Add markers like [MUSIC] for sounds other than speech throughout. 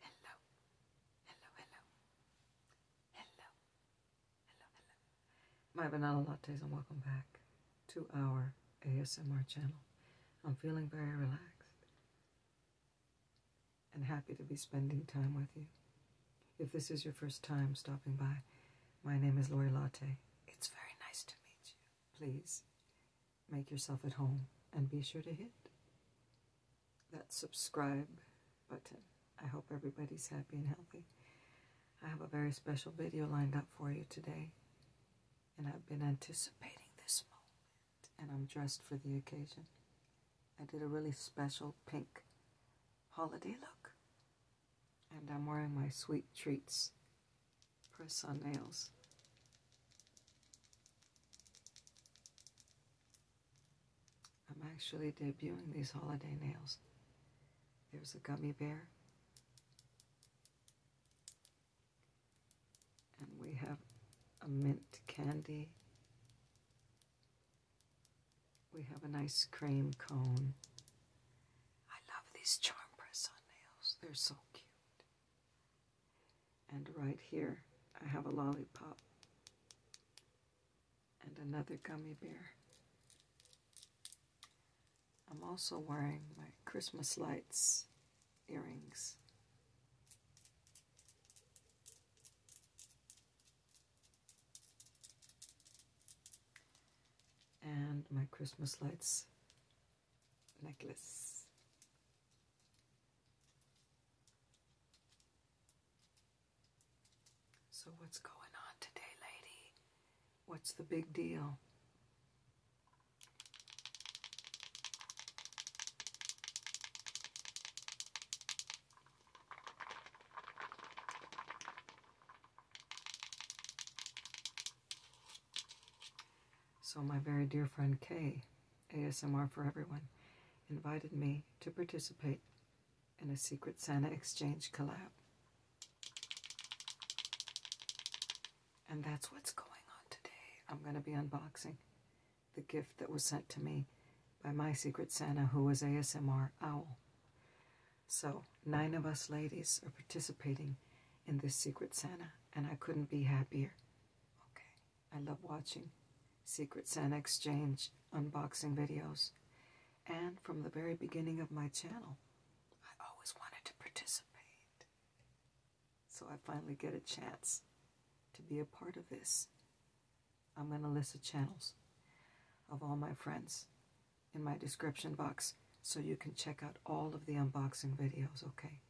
Hello. Hello, hello. Hello. Hello, hello. My banana lattes and welcome back to our ASMR channel. I'm feeling very relaxed and happy to be spending time with you. If this is your first time stopping by, my name is Lori Latte. It's very nice to meet you. Please make yourself at home and be sure to hit that subscribe button. I hope everybody's happy and healthy. I have a very special video lined up for you today, and I've been anticipating this moment, and I'm dressed for the occasion. I did a really special pink holiday look. And I'm wearing my Sweet Treats press on nails. I'm actually debuting these holiday nails. There's a gummy bear. And we have a mint candy we have a nice cream cone. I love these charm press on nails. They're so cute. And right here, I have a lollipop and another gummy bear. I'm also wearing my Christmas lights earrings and my Christmas lights necklace. So what's going on today, lady? What's the big deal? So my very dear friend Kay, ASMR for Everyone, invited me to participate in a Secret Santa Exchange collab. And that's what's going on today. I'm going to be unboxing the gift that was sent to me by my Secret Santa, who was ASMR Owl. So, nine of us ladies are participating in this Secret Santa, and I couldn't be happier. Okay, I love watching Secret Santa Exchange unboxing videos. And from the very beginning of my channel, I always wanted to participate. So I finally get a chance to be a part of this. I'm going to list the channels of all my friends in my description box so you can check out all of the unboxing videos, okay?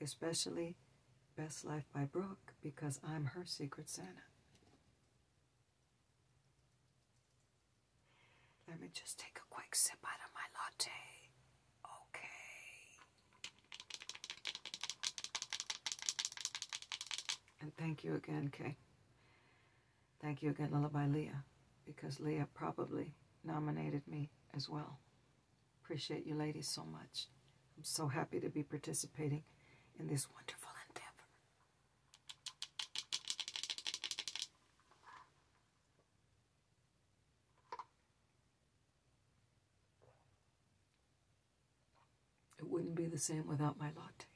Especially Best Life by Brooke because I'm her Secret Santa. Let me just take a quick sip out of my latte. Okay. And thank you again, Kay. Thank you again, Lullaby Leah, because Leah probably nominated me as well. Appreciate you ladies so much. I'm so happy to be participating in this wonderful endeavor. It wouldn't be the same without my latte.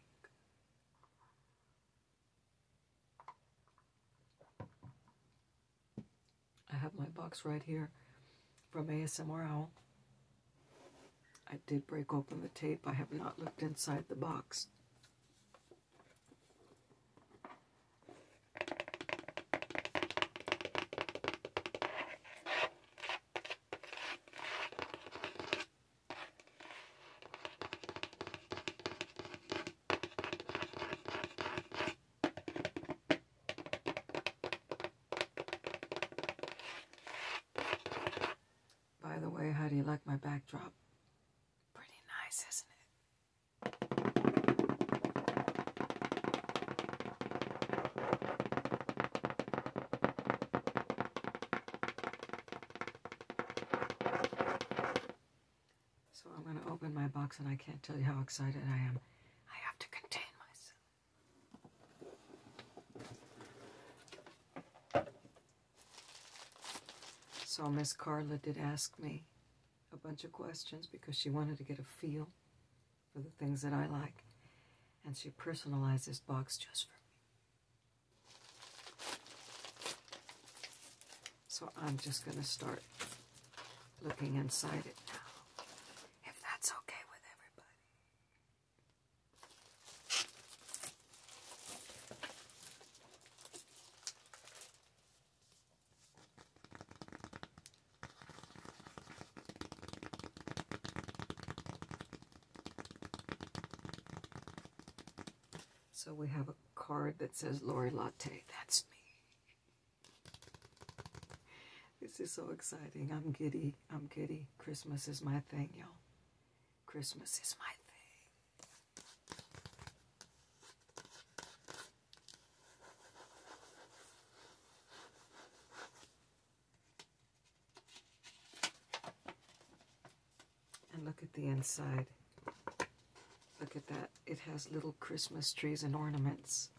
I have my box right here from ASMR Owl. I did break open the tape. I have not looked inside the box. By the way, how do you like my backdrop? Pretty nice, isn't it? So I'm going to open my box and I can't tell you how excited I am. I have to contain myself. So Miss Carla did ask me a bunch of questions because she wanted to get a feel for the things that I like. And she personalized this box just for me. So I'm just going to start looking inside it now, if that's okay with everybody. So we have a card that says Lori Latte. That's me. This is so exciting. I'm giddy. I'm giddy. Christmas is my thing, y'all. Christmas is my thing. And look at the inside. Look at that. It has little Christmas trees and ornaments.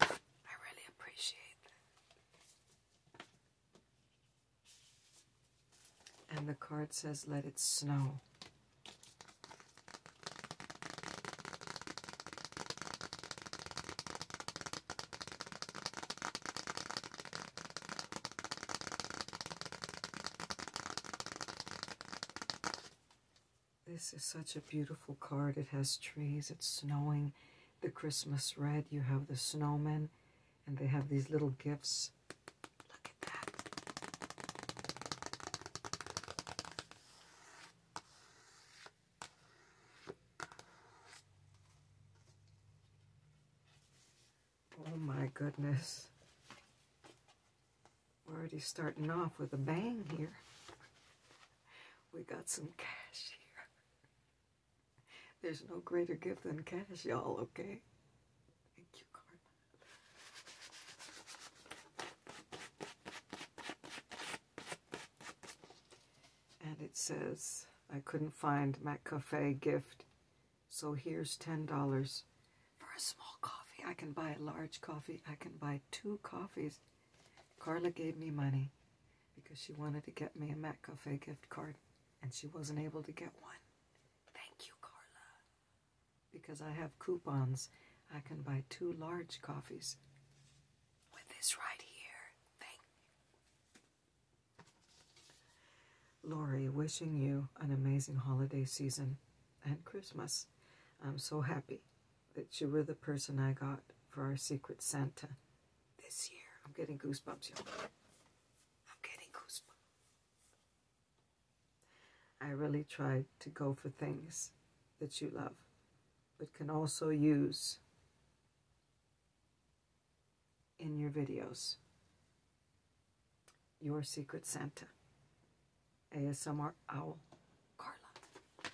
I really appreciate that. And the card says, let it snow. This is such a beautiful card. It has trees, it's snowing, the Christmas red, you have the snowmen, and they have these little gifts Look at that. Oh my goodness. We're already starting off with a bang here. We got some cash here. There's no greater gift than cash, y'all, okay? Thank you, Carla. And it says, I couldn't find McCafe gift, so here's $10 for a small coffee. I can buy a large coffee. I can buy two coffees. Carla gave me money because she wanted to get me a McCafe gift card, and she wasn't able to get one. Thank you, Carla. Because I have coupons, I can buy two large coffees. With this right here, thank Lori, wishing you an amazing holiday season and Christmas. I'm so happy that you were the person I got for our Secret Santa this year. I'm getting goosebumps, y'all. I'm getting goosebumps. I really try to go for things that you love, but can also use in your videos. Your Secret Santa, ASMR Owl, Carla.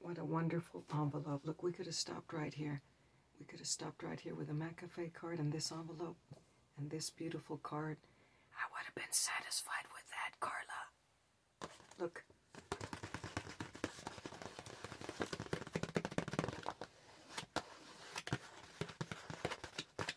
What a wonderful envelope. Look, we could have stopped right here. We could have stopped right here with a McAfee card and this envelope and this beautiful card. I would have been satisfied with that, Carla. Look.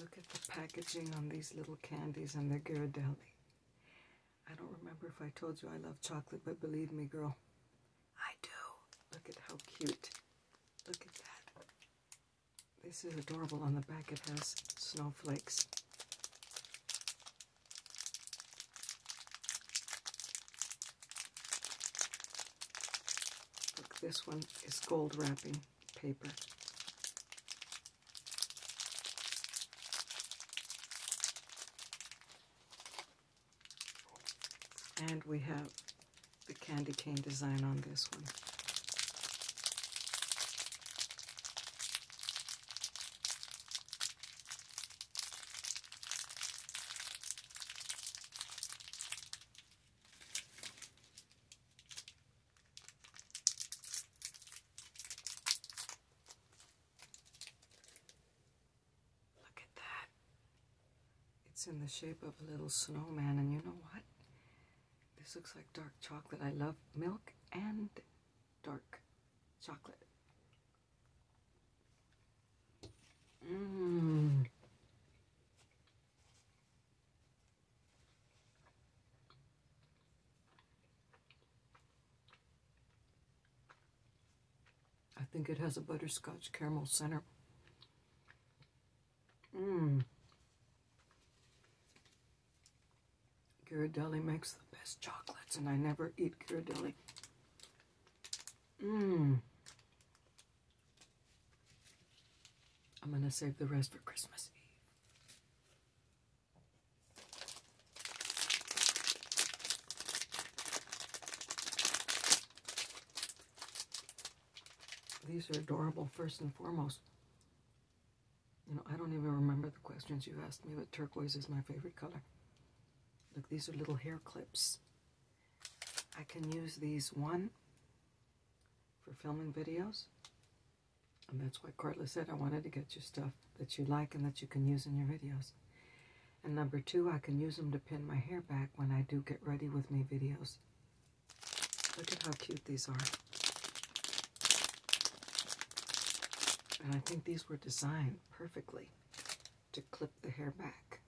Look at the packaging on these little candies and the Ghirardelli. I don't remember if I told you I love chocolate, but believe me, girl, I do. Look at how cute. Look at that. This is adorable. On the back it has snowflakes. Look, this one is gold wrapping paper. And we have the candy cane design on this one. Look at that. It's in the shape of a little snowman, and you know what? This looks like dark chocolate. I love milk and dark chocolate. Mm. I think it has a butterscotch caramel center. Mmm. Ghirardelli makes the best chocolates, and I never eat Ghirardelli. Mmm. I'm going to save the rest for Christmas Eve. These are adorable, first and foremost. You know, I don't even remember the questions you asked me, but turquoise is my favorite color. Look, these are little hair clips. I can use these one for filming videos. And that's why Courtland said I wanted to get you stuff that you like and that you can use in your videos. And number two, I can use them to pin my hair back when I do get ready with me videos. Look at how cute these are. And I think these were designed perfectly to clip the hair back.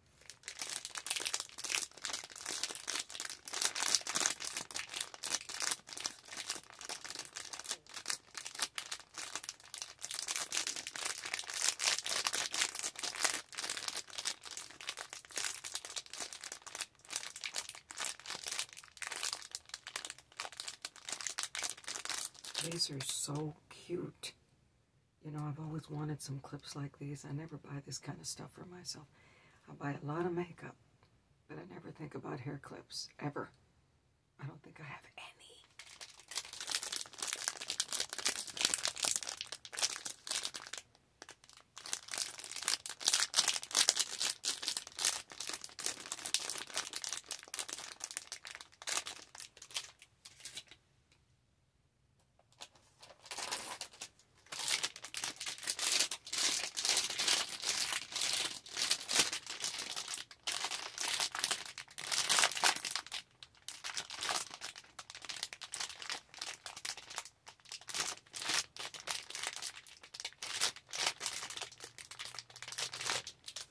These are so cute. You know, I've always wanted some clips like these. I never buy this kind of stuff for myself. I buy a lot of makeup, but I never think about hair clips, ever. I don't think I have any.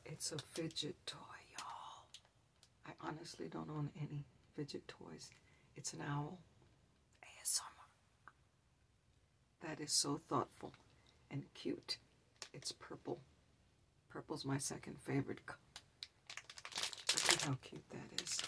It's a fidget toy, y'all. I honestly don't own any fidget toys. It's an owl. That is so thoughtful and cute. It's purple. Purple's my second favorite. Look at how cute that is.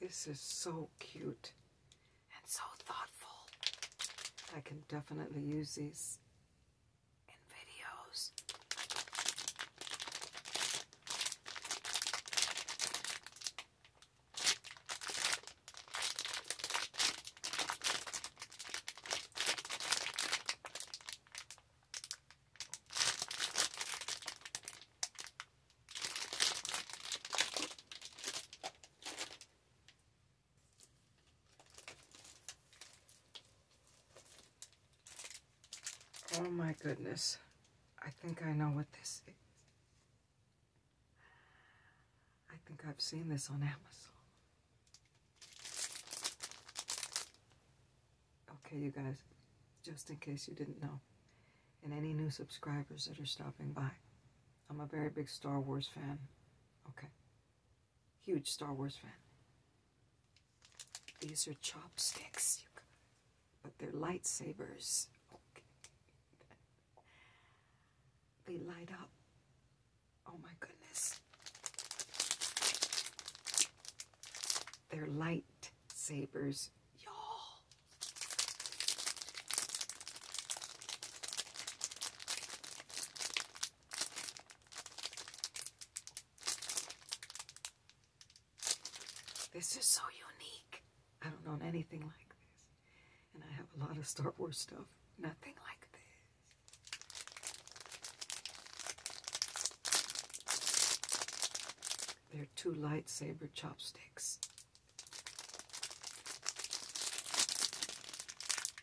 This is so cute and so thoughtful. I can definitely use these in videos. Oh my goodness. I think I know what this is. I think I've seen this on Amazon. Okay, you guys, just in case you didn't know, and any new subscribers that are stopping by, I'm a very big Star Wars fan. Okay. Huge Star Wars fan. These are chopsticks, but they're lightsabers. They light up. Oh my goodness. They're lightsabers, y'all. This is so unique. I don't own anything like this. And I have a lot of Star Wars stuff. Nothing like this. They're two lightsaber chopsticks.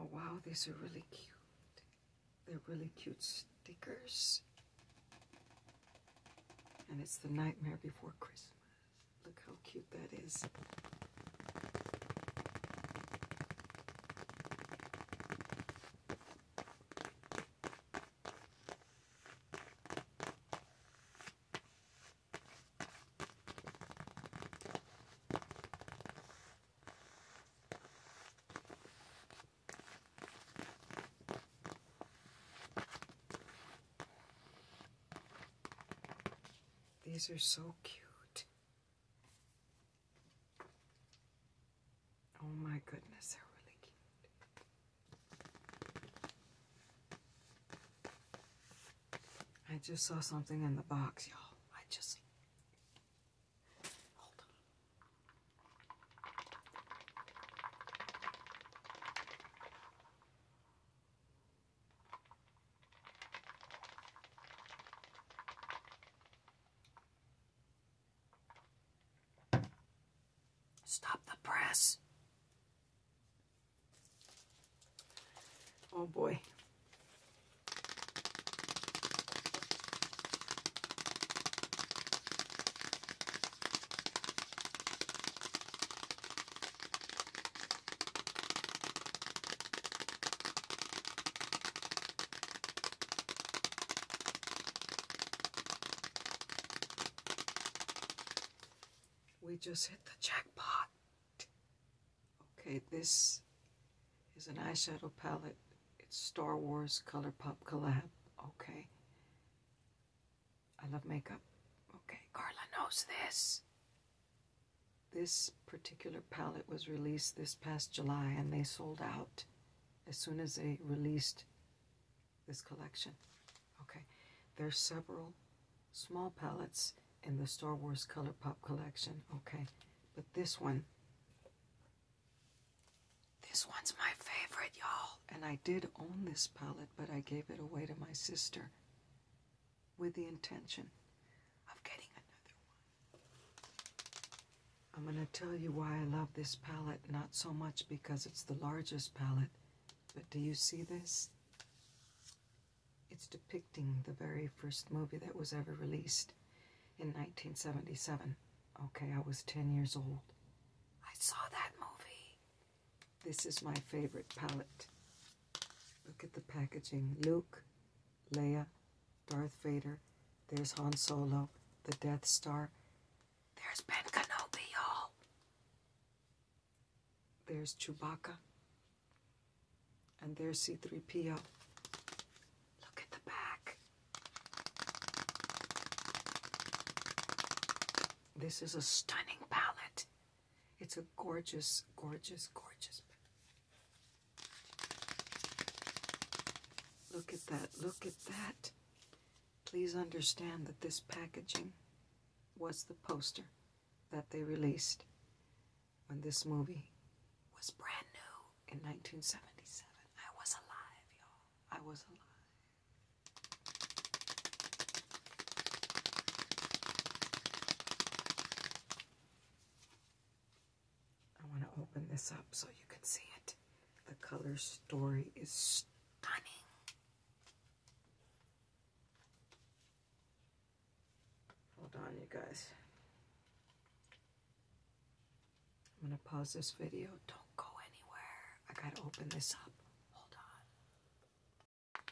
Oh wow, these are really cute. They're really cute stickers. And it's the Nightmare Before Christmas. Look how cute that is. These are so cute. Oh my goodness, they're really cute. I just saw something in the box, y'all. I just hold on. Stop the press. Oh boy. We just hit the jackpot. Okay, this is an eyeshadow palette. It's Star Wars Color Pop collab. Okay. I love makeup. Okay, Carla knows this. This particular palette was released this past July and they sold out as soon as they released this collection. Okay, there's several small palettes in the Star Wars Color Pop collection. Okay, but this one, this one's my favorite, y'all. And I did own this palette, but I gave it away to my sister with the intention of getting another one. I'm going to tell you why I love this palette, not so much because it's the largest palette, but do you see this? It's depicting the very first movie that was ever released in 1977. Okay, I was 10 years old. I saw that movie. This is my favorite palette. Look at the packaging. Luke, Leia, Darth Vader. There's Han Solo, the Death Star. There's Ben Kenobi, all There's Chewbacca. And there's C-3PO. Look at the back. This is a stunning palette. It's a gorgeous, gorgeous, gorgeous Look at that, look at that. Please understand that this packaging was the poster that they released when this movie was brand new in 1977. I was alive, y'all. I was alive. I want to open this up so you can see it. The color story is stunning. Hold on, you guys. I'm going to pause this video. Don't go anywhere. I got to open this up. Hold on.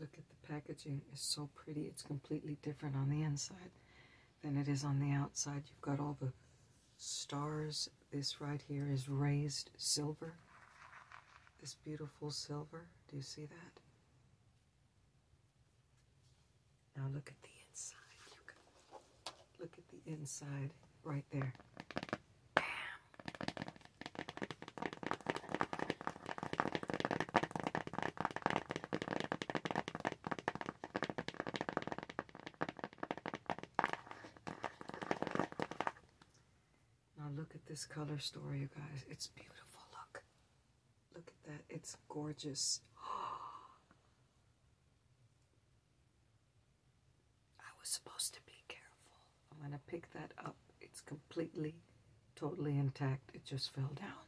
Look at the packaging. It's so pretty. It's completely different on the inside than it is on the outside. You've got all the stars. This right here is raised silver. This beautiful silver. Do you see that? Now look at the inside. Look at, the inside right there. Bam. Now look at this color story, you guys. It's beautiful. Look. Look at that, it's gorgeous. [GASPS] I was supposed to be careful. I'm going to pick that up. It's completely, totally intact. It just fell down.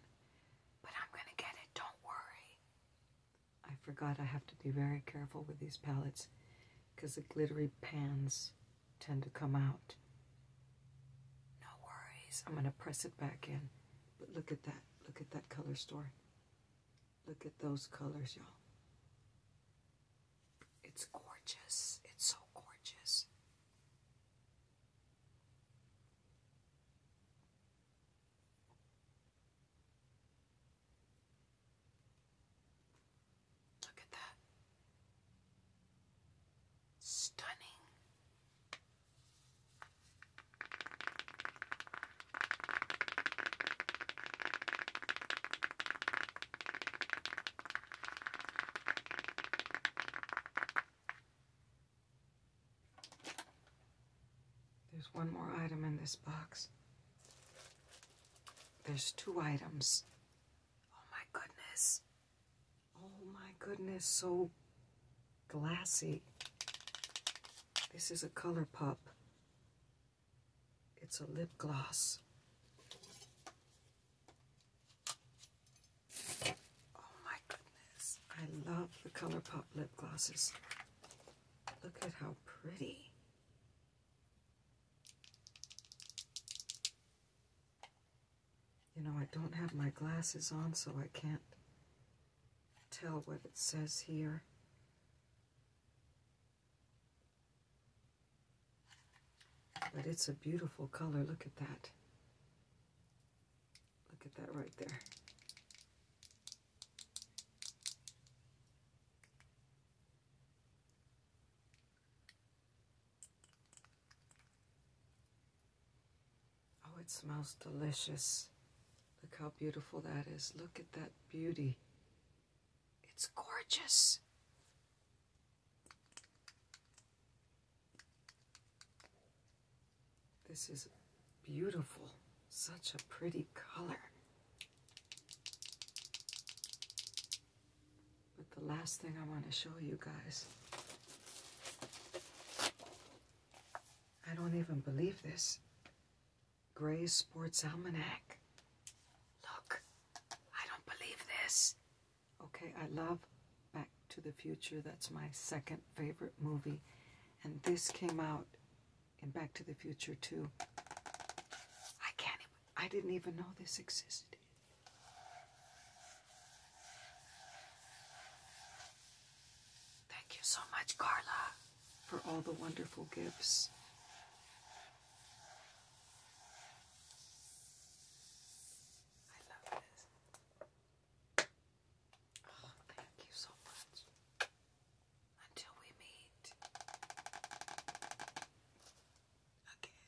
But I'm going to get it, don't worry. I forgot I have to be very careful with these palettes because the glittery pans tend to come out no worries. I'm going to press it back in. But look at that. Look at that color story. Look at those colors, y'all. It's gorgeous. It's so gorgeous. Look at that. Stunning. There's one more item in this box. There's two items. Oh my goodness. Oh my goodness, so glassy. This is a ColourPop. It's a lip gloss. Oh my goodness. I love the ColourPop lip glosses. Look at how pretty. You know, I don't have my glasses on, so I can't tell what it says here. But it's a beautiful color. Look at that. Look at that right there. Oh, it smells delicious. Look how beautiful that is. Look at that beauty. It's gorgeous. This is beautiful. Such a pretty color. But the last thing I want to show you guys. I don't even believe this. Gray's Sports Almanac. Look, I don't believe this. Okay, I love Back to the Future. That's my second favorite movie. And this came out in Back to the Future too. I can't even, I didn't even know this existed. Thank you so much, Carla, for all the wonderful gifts. I love this. Oh, thank you so much. Until we meet again.